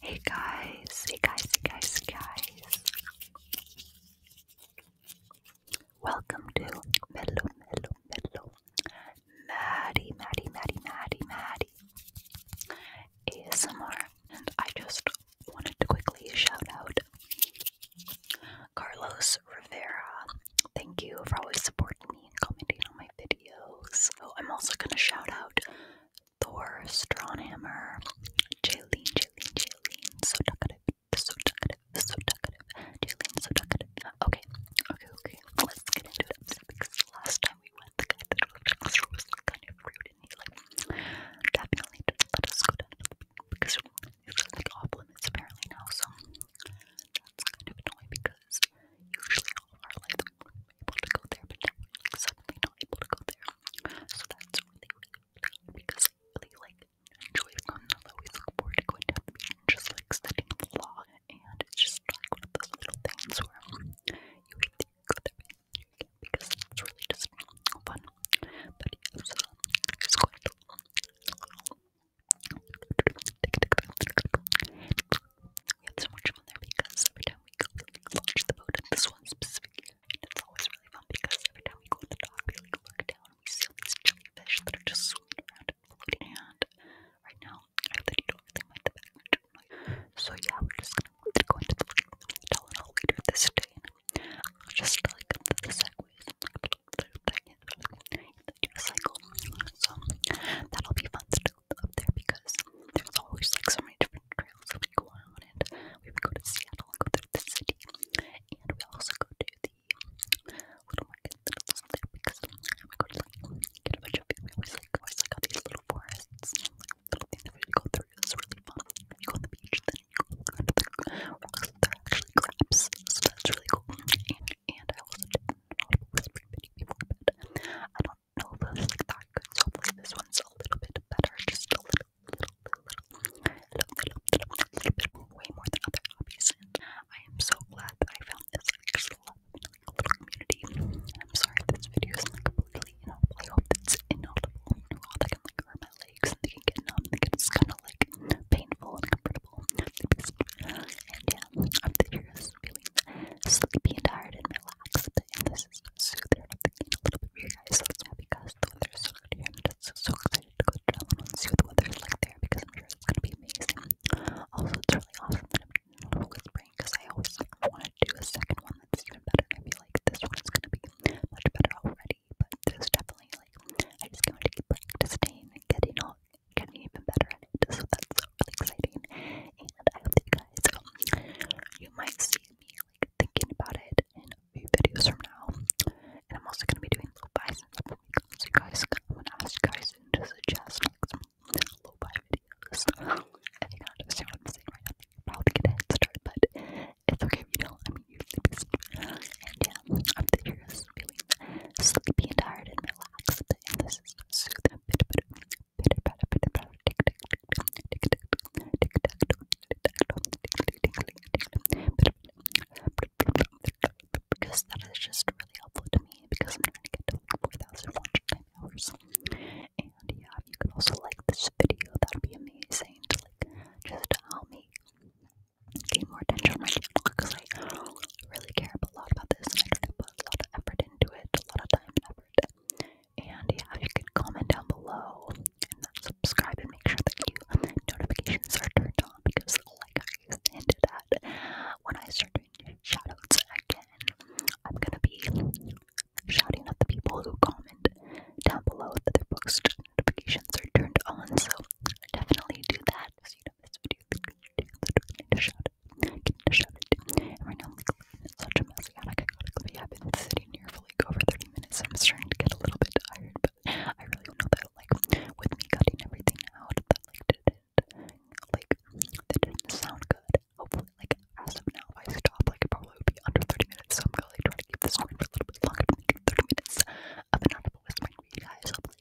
Hey guys, hey guys, hey guys, hey guys. Welcome to Mellow, Mellow, Mellow. Maddie, Maddie, Maddie, Maddie, Maddie. ASMR. And I just wanted to quickly shout out Carlos Rivera. Thank you for always supporting me and commenting on my videos. Oh, I'm also going to shout out Thor, Strawnhammer, Jaylene, Jaylene, Jaylene, so talkative, so talkative, so talkative, Jaylene, so talkative. Okay, okay, okay, let's get into it last time we went, that was kind of rude and he like definitely didn't let us because it's like off apparently now, so that's kind of annoying because usually all our life able to go there, but now suddenly not able to go there. So that's really, because I like enjoy fun. Although we look forward to going down just like setting the vlog, and it's just one of those little things where you hate to go there because it's really just fun. We have so much fun there because every time we go, we launch the boat at this one specifically. And it's always really fun because every time we go on the dock, we look down and we see these jellyfish that are just swimming around right now, I hope that you don't really the background So yeah, we're just gonna go into the Tylenol later this day. And just like the, the segues and like, back like, So that'll be fun stuff up there because there's always like so many different trails that we go on, and we would go to Seattle and go through the city, and we also go to the little there because we go to like get a bunch of food. We always like always like all these little forests, little things that we go through. It's really fun. You go on the beach, then you go under They're actually crabs, so that's really cool. And, and I also did know that good, so hopefully this one's a little bit better, just a little, little, little, little, little, little, little bit way more than other hobbies, I am so glad that I found this like, little community, I'm sorry this video is like really, I hope it's inaudible, I'm all that can like hurt my legs, and they can numb, they get just kind of like painful and uncomfortable. and yeah, I'm here feeling sleepy and tired relaxed, and this is soother. I'm a little bit you guys, so yeah, because the weather's so good here. I'm just so, excited to go travel and see what the weather's like there because I'm sure it's gonna be amazing. Also, it's really awesome that I'm whispering because I always want to do a second one that's even better. I feel like this one's gonna be much better already, but there's definitely like I just wanted to keep practicing and getting all getting even better at it, so that's really exciting. And I hope guys, um, you might see me like thinking about it in videos from now. And I'm also gonna be doing little buys in so guys, I'm gonna ask you guys to suggest like some little buy videos. If you don't understand what I'm saying right now, am probably gonna get a head start, but it's okay if you don't. I mean, you're sleepy, and yeah, I'm just feeling sleepy and tired and relaxed, and this soothing. But, but, because that is just really helpful to me because I'm trying to get to like 4,000 watch hours. And yeah, you could also like this video, that would be amazing to like just help me gain more attention on my channel because I really care a lot about this and put a lot of effort put it, a lot of time and effort. And yeah, you can comment down below and subscribe and make sure that you notifications are turned on because like I hinted that when I start doing shoutouts again, I'm gonna be shouting at the people who comment down below that their books notifications are turned on. So definitely do that. So you know this video is going to shout Getting right now I'm like, it's such a mess. I gotta go I've been sitting here for like over 30 minutes. I'm starting to get a little bit tired, but I really don't know that, like, with me cutting everything out, that, like, it, like, that didn't sound good. Hopefully, like, as of now, if I stop, like, it probably would be under 30 minutes. So I'm gonna, like, try to keep this going for a little bit longer 30 minutes. of the with my guys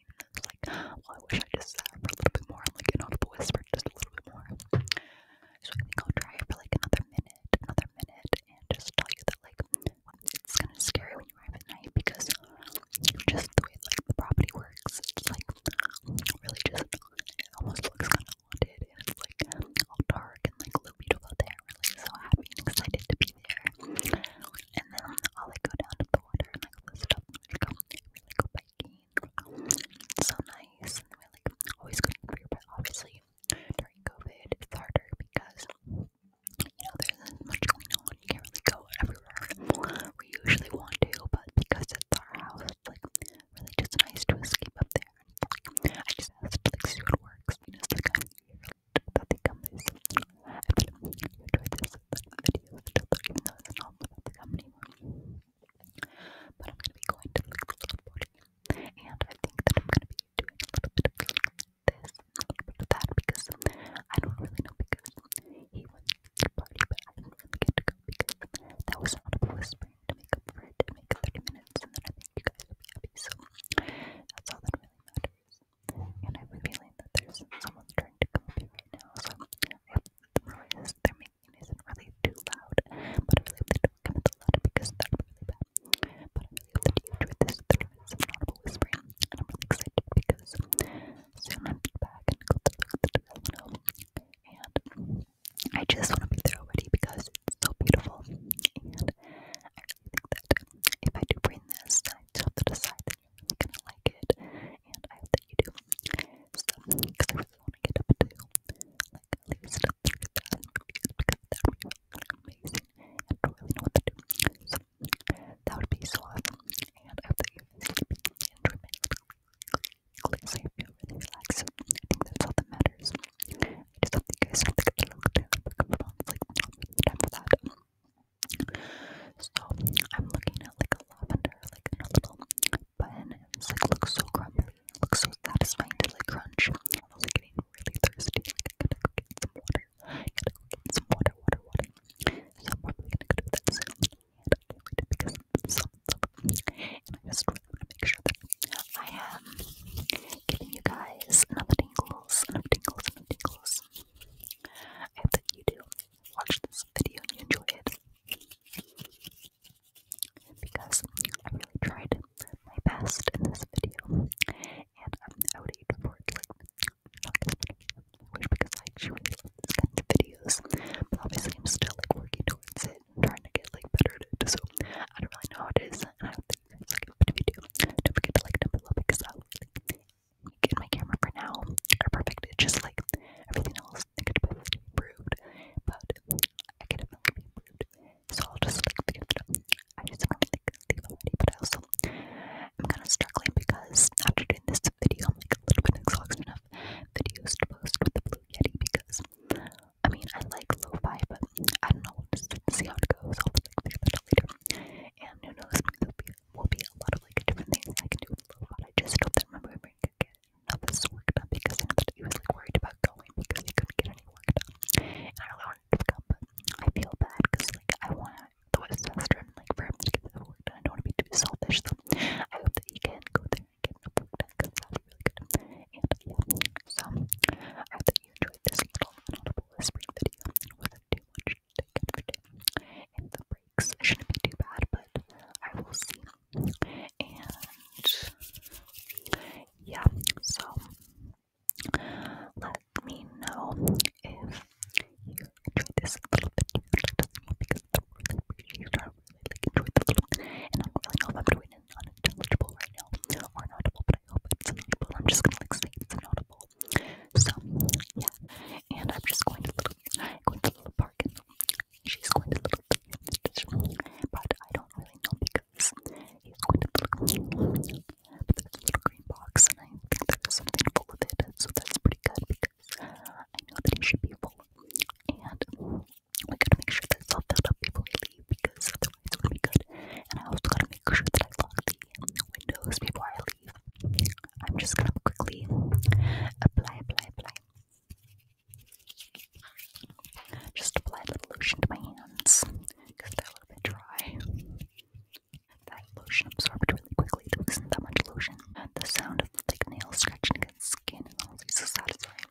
sitting and like, well, oh, I wish I just sat for a little bit more. I'm like, inaudible whisper, just a little bit more. So I think I'll try it for like another minute, another minute, and just tell you that like it's kind of scary when you arrive at night because just the way like the property works, it's like really just it almost looks kind of haunted, and it's like all dark and like a little beautiful out there. Really so happy and excited to be there. And then I'll like go down to the water and go biking, so nice, we like always going for your pet. Obviously, during COVID, it's harder because you know there isn't much going on. You can't really go everywhere. We usually want to, but because it's our house, it's like really just nice to escape up there. I just asked like see it works. You know, it's like I that they come video still though, even though it's not about the gum anymore. But I'm going to be going to look for skateboarding, and I think that I'm going to be doing a little bit of this, a little bit of that, because I don't really know, because he went to the party, but I didn't really get to go, because that was not a whispering to make up for it, to make 30 minutes, and then I think you guys will be happy, so that's all that really matters and I have a feeling that there's someone trying to come up here right now, so I hope the noises they're making isn't really too loud, but I really hope they don't come in too loud because that would be really bad, but I really hope that you enjoyed this 30 minutes of audible whispering, and I'm really excited because soon I'm back and go to the development and I just want to be there already because it's so beautiful, and I really think that if I do bring this, I just have to decide really gonna like it, and I hope that you do. So, because I really want to get up to like at least 3,000 reviews because that would be amazing, and I really know what to do. So, that would be so awesome, and I hope that you guys keep enjoyment. So, you feel really relaxed. I think that's all that matters. I just hope that you guys don't think it's a little too like, not really time for that. So I'm looking at like a lavender, like in a little bun. It's like looks so crumbly, it looks so satisfying to like crunch. I was like, getting really thirsty, like I gotta go get some water. I gotta go get some water, water, water. So I'm probably gonna go do that soon. And I can't wait to pick up some And I just really wanna make sure that I am giving you guys enough tingles, enough tingles, enough tingles. I hope that you do watch this video and you enjoy it. Because I really tried my best in this video, and um, I would hate for it like not this because I actually really love this kind videos. But obviously, I'm still like working towards it, and trying to get like better it. So I don't really know what it is, and I hope that you guys like the video. Don't forget to like down below because I love it in my camera for now perfect. just like everything else that could be improved, but I could be improved. So I'll just like figure I just want to like leave already, but I also I'm kind of struggling because after doing this video, I'm like a little bit exhausted enough videos to post with the Blue Yeti because I mean I like lo but I don't know. see how it goes. I'll like figure later. And who knows, maybe will be a lot of like different things I can do But I just hope that my boyfriend could get enough of because I know that he was like worried about going because he couldn't get any work And I really wanted to come, but I feel bad because like I want the Western like for him to get the work done. I don't want to be too selfish though. So I hope that he can go there and get enough work done because that really good. And yeah, so I hope that you enjoyed this little audible whispering video. It was too much in the breaks. shouldn't be too bad, but I will see. And yeah, so let me know if you enjoyed this little bit because I really appreciate it. I really like enjoyed and I don't really know if I'm doing it unintelligible right now or inaudible, but I hope it's inaudible. I'm just gonna like say it's inaudible so yeah, and I'm just going to little, going to little park, and she's going to little, but I don't really know because he's going to little, but there's a little green box, and I think that there's something full of it, so that's pretty good because I know that it should be full, and we gotta make sure that it's all filled up before we leave because otherwise it would be good and I also gotta make sure that I lock the windows before I leave. I'm just gonna quickly apply, apply, apply. Just apply a little lotion to my hands because they're a little bit dry. That lotion absorbed really quickly. There wasn't that much lotion. The sound of thick nails scratching against skin is honestly so satisfying.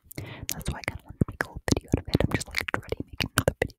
That's why I kind of wanted to make a video out of it. I'm just like already making another video.